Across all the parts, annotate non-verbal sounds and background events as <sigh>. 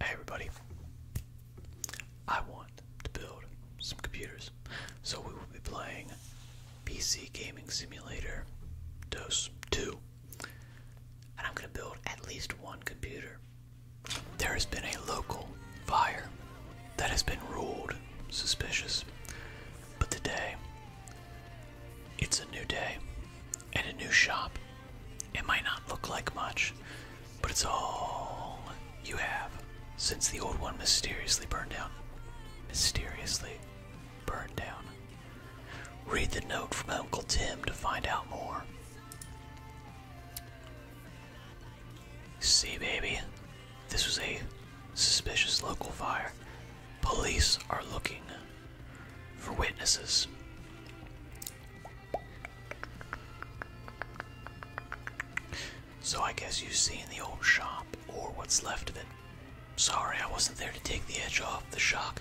Hey everybody, I want to build some computers, so we will be playing PC Gaming Simulator DOS 2, and I'm going to build at least one computer. There has been a local fire that has been ruled suspicious, but today it's a new day and a new shop it might not look like much, but it's all you have since the old one mysteriously burned down. Mysteriously burned down. Read the note from Uncle Tim to find out more. See, baby, this was a suspicious local fire. Police are looking for witnesses. So I guess you see in the old shop, or what's left of it. Sorry I wasn't there to take the edge off the shock,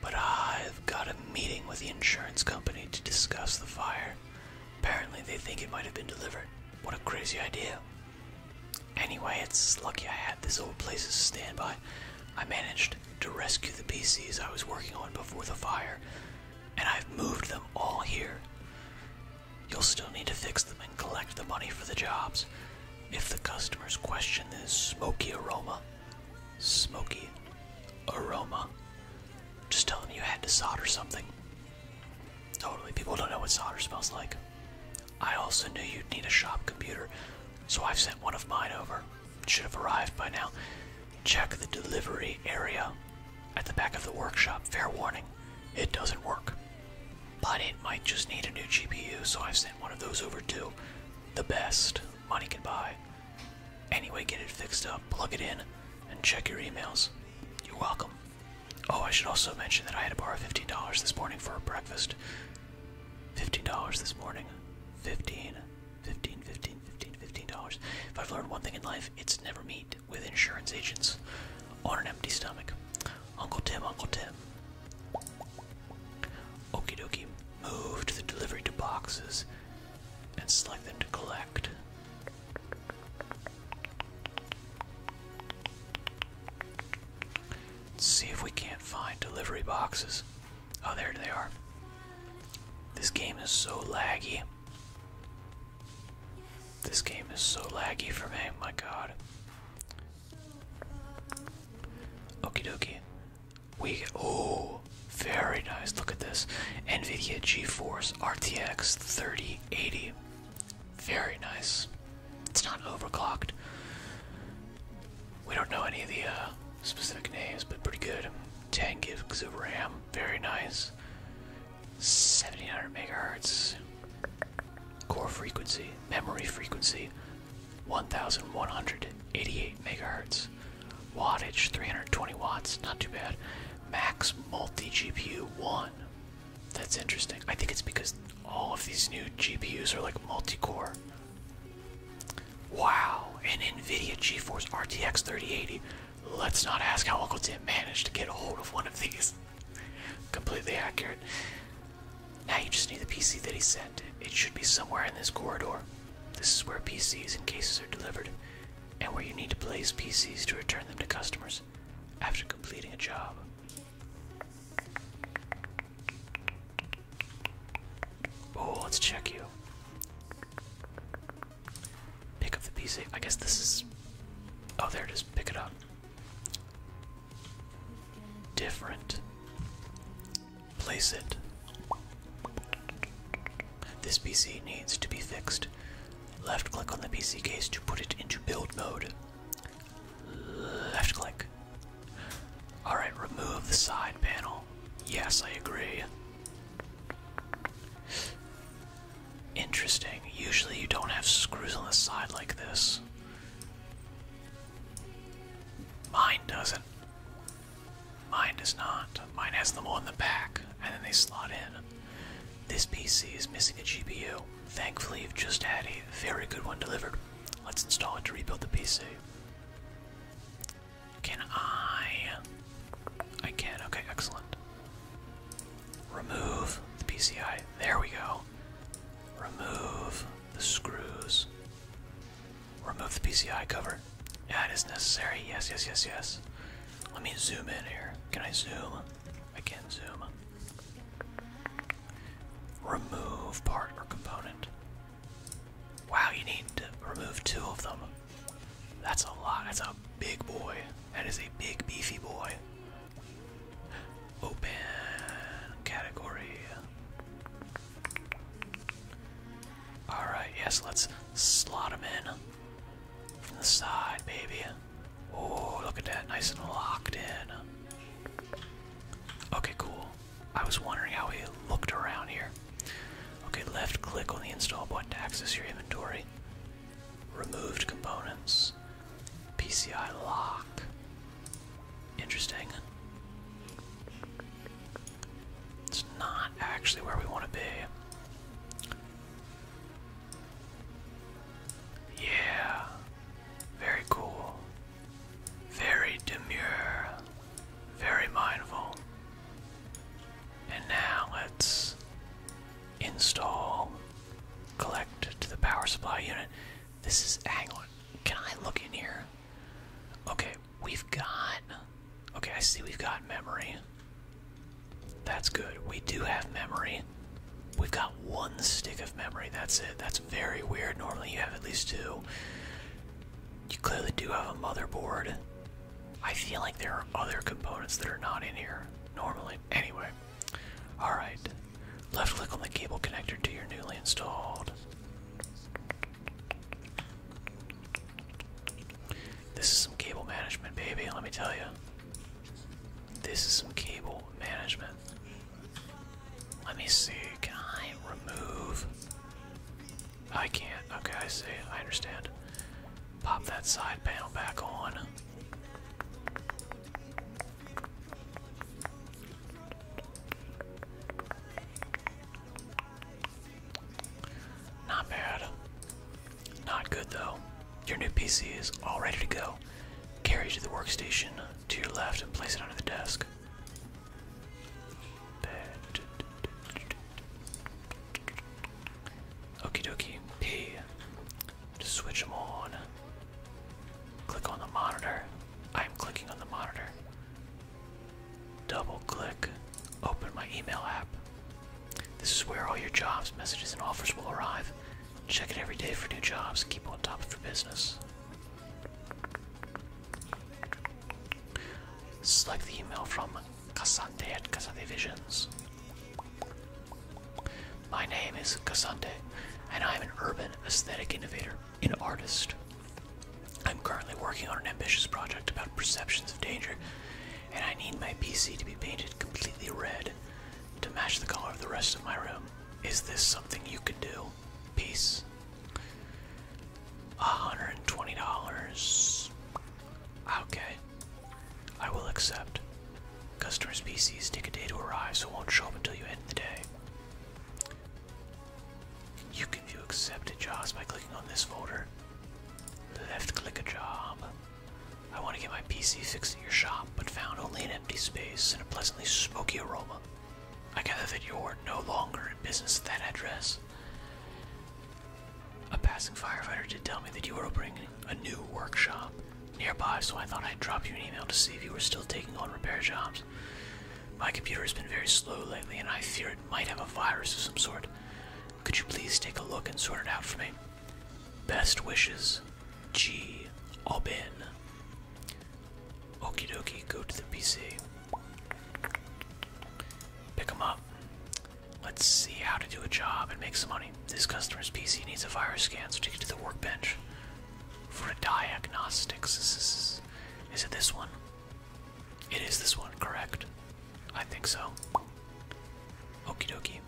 but I've got a meeting with the insurance company to discuss the fire. Apparently they think it might have been delivered. What a crazy idea. Anyway, it's lucky I had this old place as a standby. I managed to rescue the PCs I was working on before the fire, and I've moved them all here. You'll still need to fix them and collect the money for the jobs. If the customers question this smoky aroma, smoky aroma, just tell them you had to solder something. Totally, people don't know what solder smells like. I also knew you'd need a shop computer, so I've sent one of mine over should have arrived by now. Check the delivery area at the back of the workshop. Fair warning, it doesn't work. But it might just need a new GPU, so I've sent one of those over too. The best money can buy. Anyway, get it fixed up, plug it in, and check your emails. You're welcome. Oh, I should also mention that I had to borrow $15 this morning for breakfast. $15 this morning. 15 15 15 15 15 dollars if i've learned one thing in life it's never meet with insurance agents on an empty stomach uncle tim uncle tim okie dokie move to the delivery to boxes and select them to collect Let's see if we can't find delivery boxes Oh, there they are. This game is so laggy. This game is so laggy for me, my god. Okey dokie. We oh, very nice. Look at this. NVIDIA GeForce RTX 3080. Very nice. It's not overclocked. We don't know any of the uh, specific names, but pretty good. 10 gigs of RAM, very nice. Seventy hundred megahertz. Core frequency, memory frequency, 1188 megahertz. Wattage, 320 watts, not too bad. Max multi GPU 1. That's interesting. I think it's because all of these new GPUs are like multi core. Wow, an NVIDIA GeForce RTX 3080. Let's not ask how Uncle Tim managed to get hold of one of these. <laughs> Completely accurate. Now you just need the PC that he sent. It should be somewhere in this corridor. This is where PCs and cases are delivered, and where you need to place PCs to return them to customers after completing a job. Oh, let's check you. Pick up the PC. I guess this is. Oh, there it is. Pick it up. Different. Place it. This PC needs to be fixed. Left click on the PC case to put it into build mode. Left click. Alright, remove the side panel. Yes, I agree. Interesting. Usually you don't have screws on the side like this. Mine doesn't. Mine does not. Mine has them all in the back, and then they slot in. This PC is missing a GPU. Thankfully, you've just had a very good one delivered. Let's install it to rebuild the PC. Can I? I can. Okay, excellent. Remove the PCI. There we go. Remove the screws. Remove the PCI cover. That is necessary. Yes, yes, yes, yes. Let me zoom in here. Can I zoom? I can zoom. Remove part or component. Wow, you need to remove two of them. That's a lot. That's a big boy. That is a big, beefy boy. Open category. Alright, yes, let's slot him in. From the side, baby. Oh, look at that. Nice and locked in. Okay, cool. I was wondering how he looked around here. Okay, left click on the install button to access your inventory. Removed components. PCI lock. Interesting. It's not actually where we want to be. Yeah. Very cool. Very demure, very mindful. And now let's install collect to the power supply unit. This is Anglin. Can I look in here? Okay, we've got Okay, I see we've got memory. That's good. We do have memory. We've got one stick of memory. That's it. That's very weird. Normally you have at least two. You clearly do have a motherboard. I feel like there are other components that are not in here normally. Anyway, alright. Left click on the cable connector to your newly installed. This is some cable management, baby, let me tell you. This is some cable management. Let me see. Can I remove? I can't. Okay, I see. I understand. Pop that side panel back on. Not bad. Not good though. Your new PC is all ready to go. Carry it to the workstation to your left and place it under the desk. Okie dokie. P. Just switch them on. Click on the monitor. I'm clicking on the monitor. Double click. Open my email app. This is where all your jobs, messages, and offers will arrive. Check it every day for new jobs. Keep on top of your business. Select the email from Cassante at Cassante Visions. My name is Cassante, and I am an urban aesthetic innovator an artist. I'm currently working on an ambitious project about perceptions of danger, and I need my PC to be painted completely red to match the color of the rest of my room. Is this something you can do? Peace. $120. Okay. I will accept. Customer's PCs take a day to arrive, so won't show up until you end the day. You can view accepted jobs by clicking on this folder. Left click a job. I want to get my PC fixed at your shop, but found only an empty space and a pleasantly smoky aroma. I gather that you're no longer in business at that address. A passing firefighter did tell me that you were opening a new workshop nearby, so I thought I'd drop you an email to see if you were still taking on repair jobs. My computer has been very slow lately, and I fear it might have a virus of some sort. Could you please take a look and sort it out for me? Best wishes, G. Aubin. Okey-dokey. go to the PC. Pick them up. Let's see how to do a job and make some money. This customer's PC needs a virus scan, so take it to the workbench for a diagnostics. Is, is it this one? It is this one, correct? I think so. Okie dokie.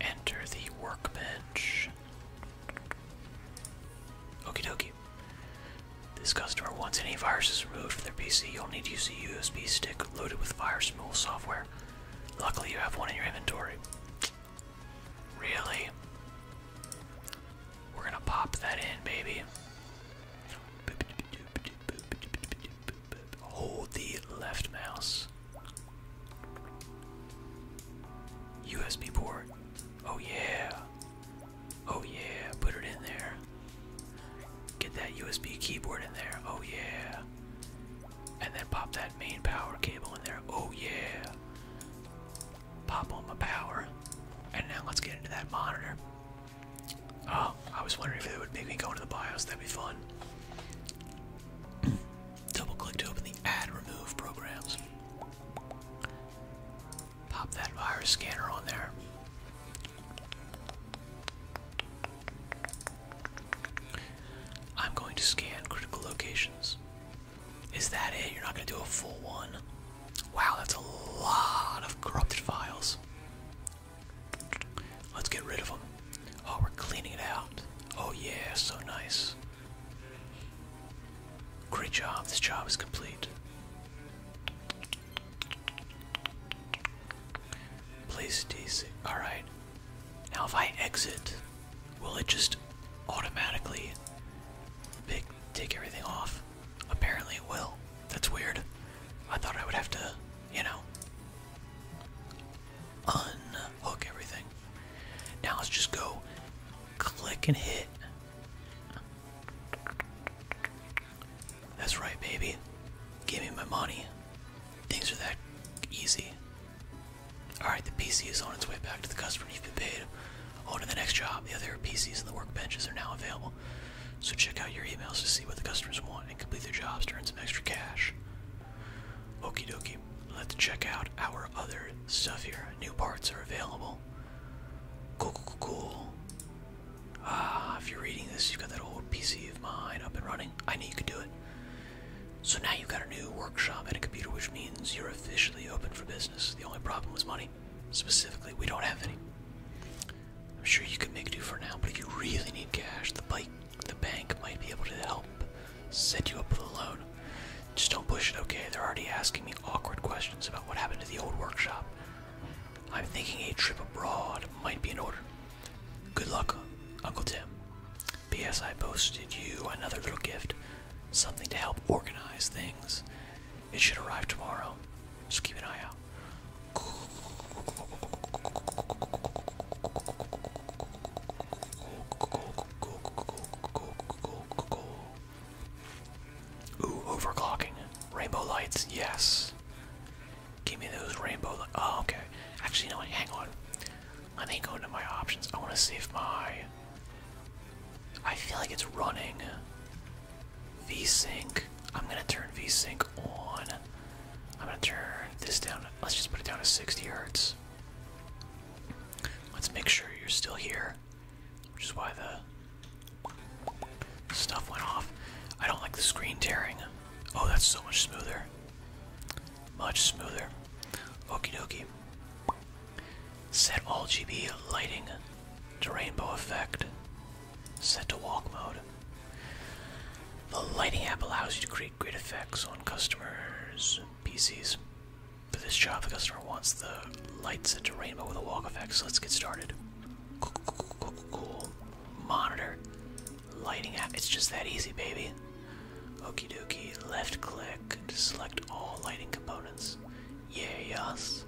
Enter the workbench. Okie dokie. This customer wants any viruses removed from their PC. You'll need to use a USB stick loaded with virus removal software. Luckily, you have one in your inventory. Really? We're gonna pop that in, baby. Hold the left mouse. USB port. Oh, yeah. Oh yeah, put it in there. Get that USB keyboard in there. Oh yeah. And then pop that main power cable in there. Oh yeah. Pop on my power. And now let's get into that monitor. Oh, I was wondering if it would make me go into the BIOS. That'd be fun. <clears throat> Double click to open the add remove programs. Pop that virus scanner on there. I'm going to scan critical locations. Is that it? You're not going to do a full one? Wow, that's a lot of corrupted files. Let's get rid of them. Oh, we're cleaning it out. Oh, yeah, so nice. Great job, this job is complete. Place DC. Alright. Now, if I exit, will it just automatically take everything off? Apparently, it will. That's weird. I thought I would have to, you know, unhook everything. Now, let's just go click and hit that's right, baby. Give me my money. Things are that easy. Alright, the PC is on its way back to the customer. You've been paid. On to the next job. The other PCs and the workbenches are now available. So check out your emails to see what the customers want and complete their jobs to earn some extra cash. Okey dokie. Let's check out our other stuff here. New parts are available cool. Cool, cool, cool, Ah, if you're reading this, you've got that old PC of mine up and running. I know you could do it. So now you've got a new workshop and a computer, which means you're officially open for business. The only problem was money. Specifically, we don't have any. I'm sure you can make do for now, but if you really need cash, the bank might be able to help set you up with a loan. Just don't push it, okay? They're already asking me awkward questions about what happened to the old workshop. I'm thinking a trip abroad might be in order. Good luck, Uncle Tim. P.S. I posted you another little gift, something to help organize things. It should arrive tomorrow, Just keep an eye out. Ooh, overclocking. Rainbow lights, yes. Give me those rainbow lights. Oh, okay. Actually, no, hang on. Let me go into my options. I want to see if my. I feel like it's running. VSync. I'm going to turn VSync on. I'm going to turn this down. Let's just put it down to 60 hertz. Let's make sure you're still here which is why the stuff went off. I don't like the screen tearing. Oh, that's so much smoother. Much smoother. Okie dokey. Set all lighting to rainbow effect. Set to walk mode. The lighting app allows you to create great effects on customers' PCs. For this job, the customer wants the light set to rainbow with a walk effect, so let's get started. Cool, cool, cool, cool, cool. Monitor. Lighting app. It's just that easy, baby. Okey dokey. Left click to select all lighting components. Yeah, yes.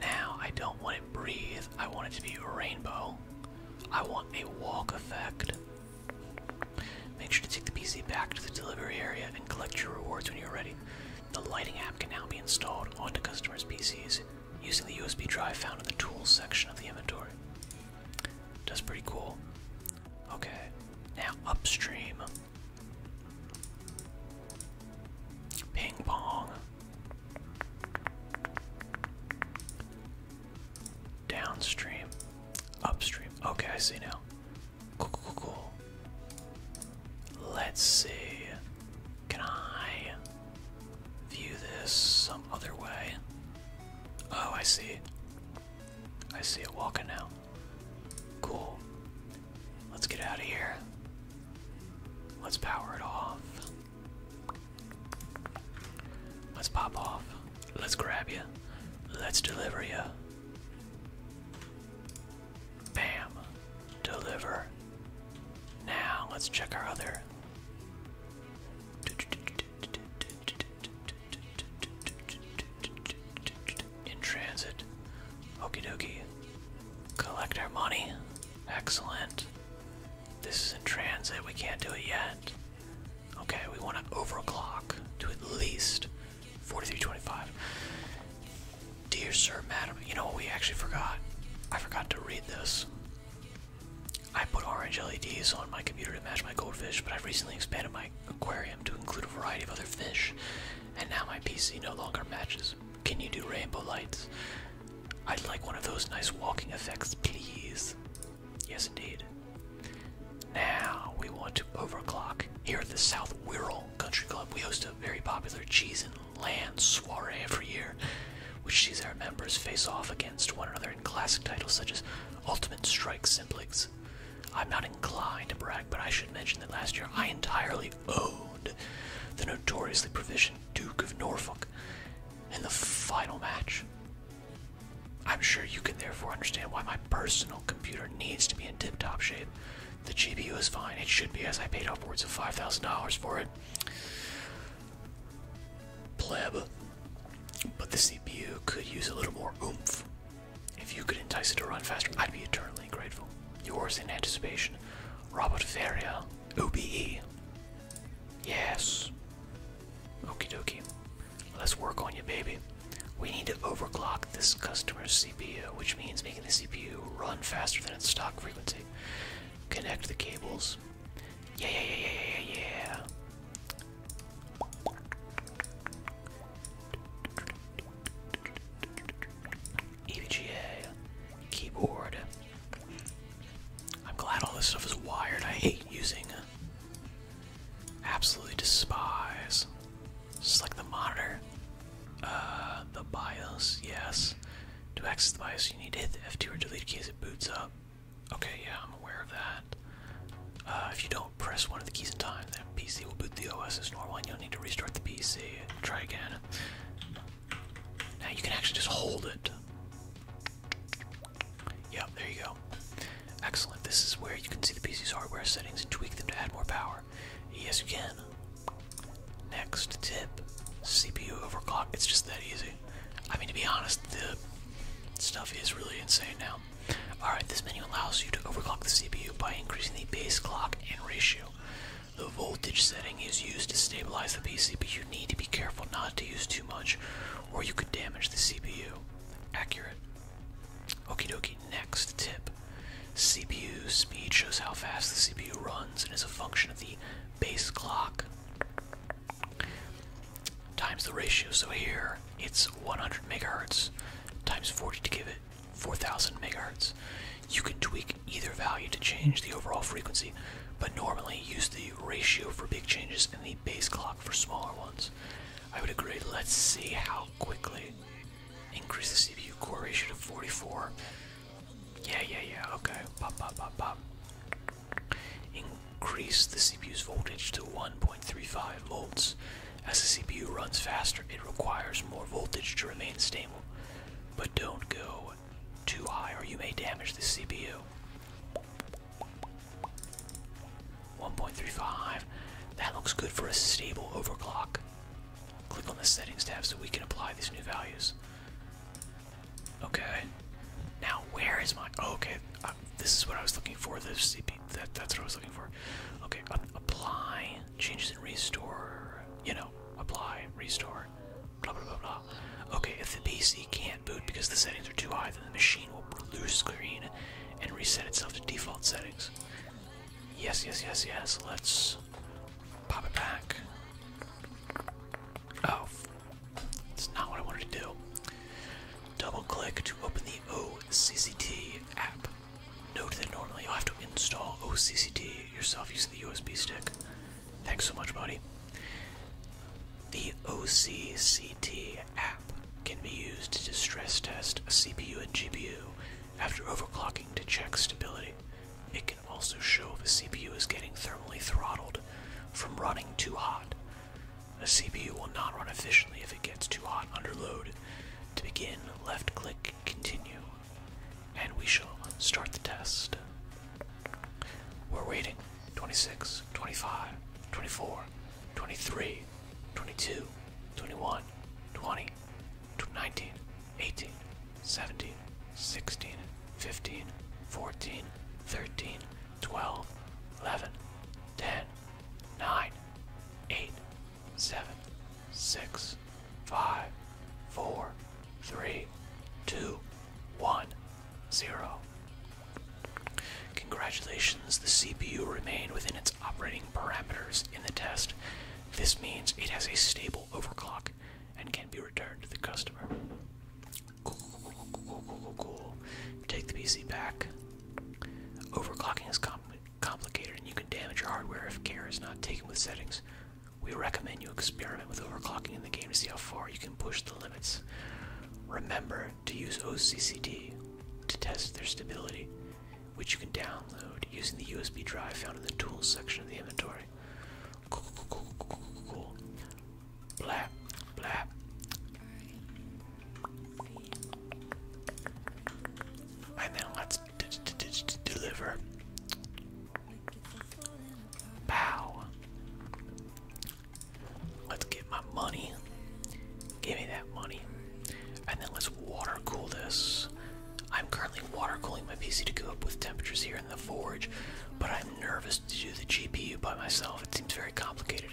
Now, I don't want it breathe. I want it to be rainbow. I want a walk effect. Make sure to take the PC back to the delivery area and collect your rewards when you're ready. The lighting app can now be installed onto customers' PCs using the USB drive found in the tools section of the inventory. That's pretty cool. Okay, now upstream. Ping pong. Downstream. Upstream. Okay, I see now. Cool, cool, cool, Let's see. Can I view this some other way? Oh, I see. I see it walking now. Cool. Let's get out of here. Let's power it off. Let's pop off. Let's grab you. Let's deliver you. Bam. Deliver. Now let's check our other. In transit. Okey dokey. Collect our money. Excellent. This is in transit. We can't do it yet. Okay, we want to overclock to at least 4325. Dear Sir, Madam, you know what we actually forgot? I forgot to read this. I put orange LEDs on my computer to match my goldfish, but I've recently expanded my aquarium to include a variety of other fish, and now my PC no longer matches. Can you do rainbow lights? I'd like one of those nice walking effects, please. Yes, indeed. Now we want to overclock. Here at the South Wirral Country Club, we host a very popular cheese and land soiree every year, which sees our members face off against one another in classic titles such as Ultimate Strike Simplix. I'm not inclined to brag, but I should mention that last year I entirely owned the notoriously proficient Duke of Norfolk in the final match. I'm sure you can therefore understand why my personal computer needs to be in tip-top shape. The GPU is fine. It should be as I paid upwards of $5,000 for it. Pleb. But the CPU could use a little more oomph. If you could entice it to run faster, I'd be eternally grateful. Yours in anticipation, Robert Feria, OBE. Yes. Okie dokie. Let's work on you, baby. We need to overclock this customer's CPU, which means making the CPU run faster than its stock frequency. Connect the cables. Yeah, yeah, yeah, yeah, yeah, yeah. EVGA, keyboard. I'm glad all this stuff is wired. I hate using absolutely despise. Just like the monitor. Uh, the BIOS, yes. To access the BIOS, you need to hit the F2 or delete key as it boots up. Okay, yeah, I'm aware of that. Uh, if you don't press one of the keys in time, then PC will boot the OS as normal and you'll need to restart the PC. Try again. Now you can actually just hold it. Yep, there you go. Excellent. This is where you can see the PC's hardware settings and tweak them to add more power. Yes, you can. Next tip CPU overclock. It's just that easy. I mean, to be honest, the stuff is really insane now. Alright, this menu allows you to overclock the CPU by increasing the base clock and ratio. The voltage setting is used to stabilize the PC, but you need to be careful not to use too much, or you could damage the CPU. Accurate. Okie dokie, next tip. CPU speed shows how fast the CPU runs and is a function of the base clock times the ratio. So here it's 100 megahertz times 40 to give it 4000 megahertz. You can tweak either value to change the overall frequency, but normally use the ratio for big changes in the base clock for smaller ones. I would agree. Let's see how quickly increase the CPU core ratio to 44. Yeah, yeah, yeah. Okay. Pop, pop, pop, pop. Increase the CPU's voltage to 1.35 volts. As the CPU runs faster, it requires more voltage to remain stable. But don't go too high or you may damage the CPU. 1.35. That looks good for a stable overclock. Click on the settings tab so we can apply these new values. Okay. Now where is my? Oh, okay, uh, this is what I was looking for. The CP. that's what I was looking for. Okay, um, apply changes in restore. You know, apply restore. Blah blah blah blah. Okay, if the PC can't boot because the settings are too high, then the machine will lose screen and reset itself to default settings. Yes, yes, yes, yes. Let's pop it back. Oh, that's not what I wanted to do. Double click to open the OCCT app. Note that normally you'll have to install OCCT yourself using the USB stick. Thanks so much, buddy. The OCCT GPT app can be used to stress test a CPU and GPU after overclocking to check stability. It can also show if a CPU is getting thermally throttled from running too hot. A CPU will not run efficiently if it gets too hot under load. To begin, left click continue, and we shall start the test. We're waiting 26, 25, 24, 23, 22, 21, 20, 19, 18, 17, 16, 15, 14, 13, 12, 11, 10, 9, 8, 7, 6, 5, 4, 3, 2, 1, 0. Congratulations, the CPU remained within its operating parameters in the test. This means it has a stable overclock and can be returned to the customer. Cool, cool, cool, cool, cool. Take the PC back. Overclocking is complicated and you can damage your hardware if care is not taken with settings. We recommend you experiment with overclocking in the game to see how far you can push the limits. Remember to use OCCD to test their stability, which you can download using the USB drive found in the tools section of the inventory. Cool, cool, cool, cool, cool, cool. Blap, blap. And then let's deliver. Pow. Let's get my money. Give me that money. And then let's water cool this. I'm currently water cooling my PC to go up with temperatures here in the forge, but I'm nervous to do the GPU by myself. It seems very complicated.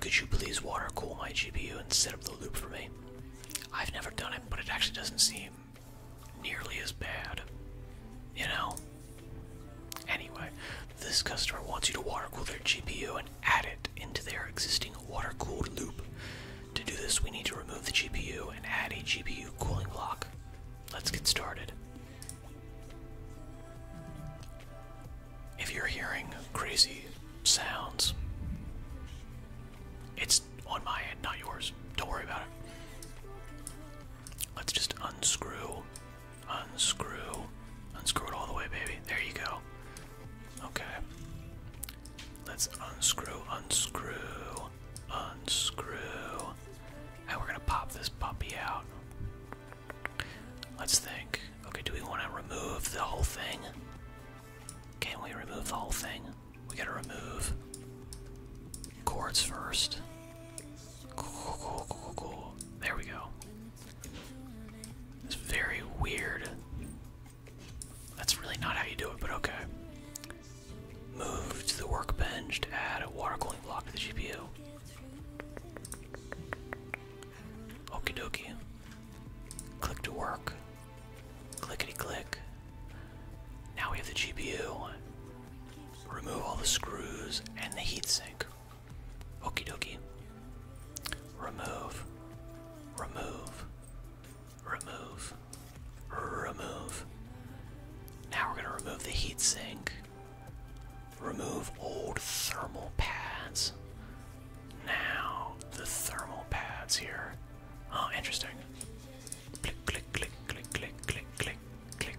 Could you please water cool my GPU and set up the loop for me? I've never done it, but it actually doesn't seem nearly as bad. You know? Anyway, this customer wants you to water cool their GPU and add it into their existing water cooled loop. To do this, we need to remove the GPU and add a GPU cooling block. Let's get started. If you're hearing crazy sounds, it's on my end, not yours. Don't worry about it. Let's just unscrew Unscrew. Unscrew it all the way, baby. There you go. Okay. Let's unscrew, unscrew, unscrew. And we're gonna pop this puppy out. Let's think. Okay, do we want to remove the whole thing? Can we remove the whole thing? We gotta remove cords first. Cool, cool, cool, cool, cool. There we go. It's very weird. That's really not how you do it, but okay. Move to the workbench to add a water cooling block to the GPU. Okie dokie. Click to work. Clickety click. Now we have the GPU. Remove all the screws and the heatsink. Okie dokie. Remove. Remove. Remove. Remove. Now we're going to remove the heatsink. Remove old thermal pads. Now the thermal pads here. Oh, interesting. Click, click, click, click, click, click, click, click,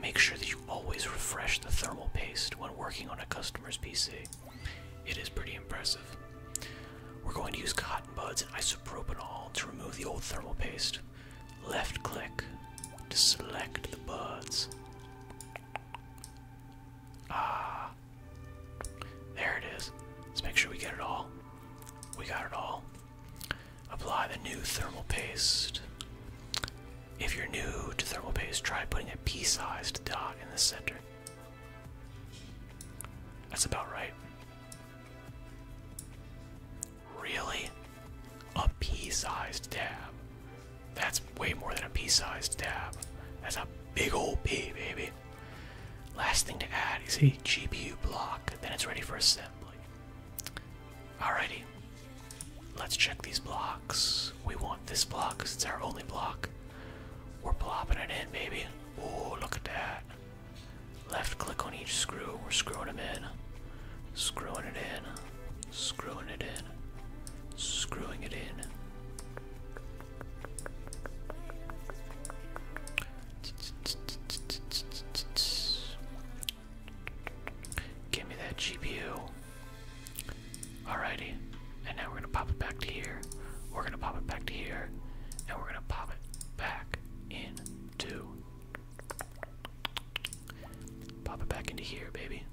Make sure that you always refresh the thermal paste when working on a customer's PC. It is pretty impressive. We're going to use cotton buds and isopropanol to remove the old thermal paste. Left click to select the buds. Ah, there it is. Let's make sure we get it all. We got it all. Apply the new thermal paste. If you're new to thermal paste, try putting a pea-sized dot in the center. That's about right. Really? A pea-sized dab. That's way more than a pea-sized dab. That's a big old pea, baby. Last thing to add is a GPU block, then it's ready for assembly. Alrighty. Let's check these blocks. We want this block because it's our only block. We're plopping it in, baby. Oh, look at that. Left click on each screw. We're screwing them in. Screwing it in. Screwing it in. Screwing it in. Give me that GPU. Alrighty. And now we're gonna pop it back to here. We're gonna pop it back to here. And we're gonna pop it back into. Pop it back into here, baby.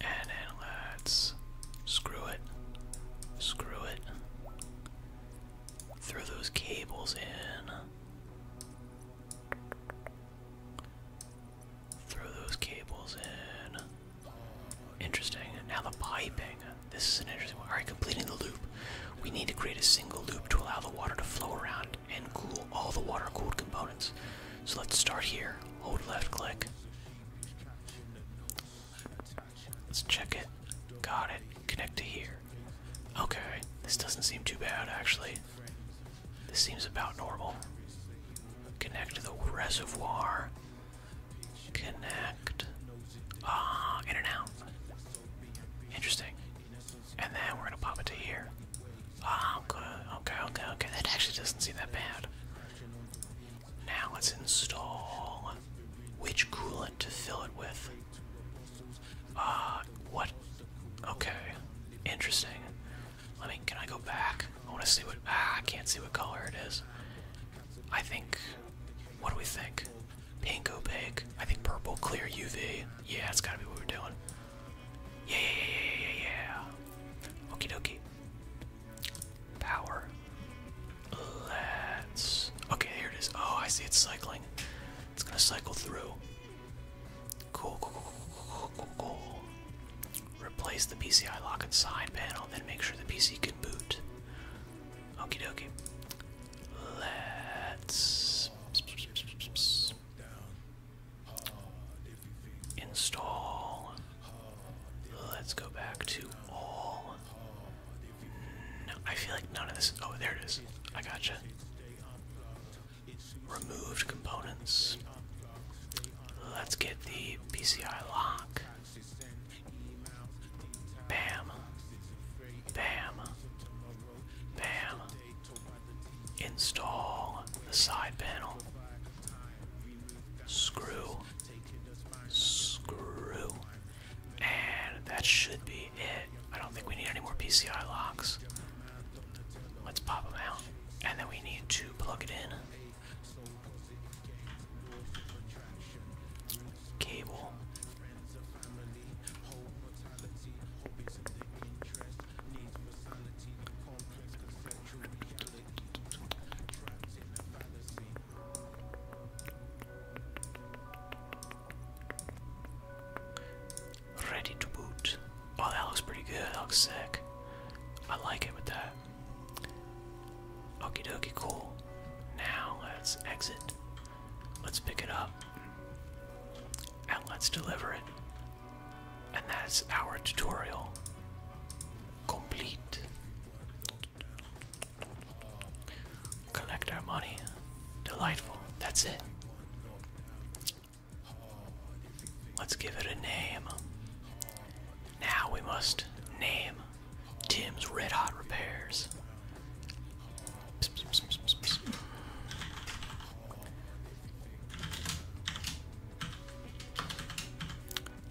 And then let's screw it. Screw it. Throw those cables in. Throw those cables in. Interesting. Now the piping. This is an interesting one. Alright, completing the loop. We need to create a single loop to allow the water to flow around and cool all the water cooled components. So let's start here. Hold left click. Let's check it. Got it. Connect to here. Okay, this doesn't seem too bad actually. This seems about normal. Connect to the reservoir. Connect. Ah, in and out. Interesting. And then we're gonna pop it to here. Ah, Okay, okay, okay. That actually doesn't seem that bad. Now let's install which coolant to fill it with. Uh, what? Okay. Interesting. Let me, can I go back? I want to see what, ah, I can't see what color it is. I think, what do we think? Pink opaque. I think purple clear UV. Yeah, it's gotta be what we're doing. Yeah, yeah, yeah, yeah, yeah, yeah. Okie Power. Let's, okay, here it is. Oh, I see it's cycling. It's gonna cycle through. Cool, cool, cool, cool, cool, cool. Replace the PCI lock and side panel, then make sure the PC can boot. Okie dokie. Let's install. Let's go back to all. I feel like none of this. Oh, there it is. I gotcha. Removed components. Let's get the PCI lock. Bam. Bam. Bam. Install the side panel. Screw. Screw. And that should be it. I don't think we need any more PCI locks. Let's pop them out. And then we need to plug it in. Cable. Ready to boot. Oh, that looks pretty good. looks sick. I like it with that. Okey dokey, cool. Now let's exit. Let's pick it up. And let's deliver it. And that's our tutorial. Complete. Collect our money. Delightful. That's it. Let's give it a name. Now we must name Tim's Red Hot Repairs.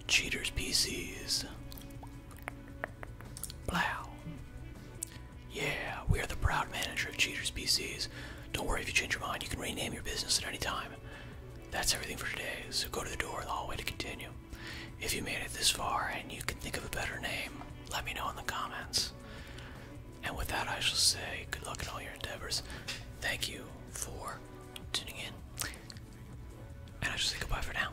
Cheaters PCs. Plow. Yeah, we are the proud manager of Cheaters PCs. Don't worry if you change your mind, you can rename your business at any time. That's everything for today, so go to the door in the hallway to continue. If you made it this far and you can think of a better name, let me know in the comments. And with that, I shall say good luck in all your endeavors. Thank you for tuning in. And I shall say goodbye for now.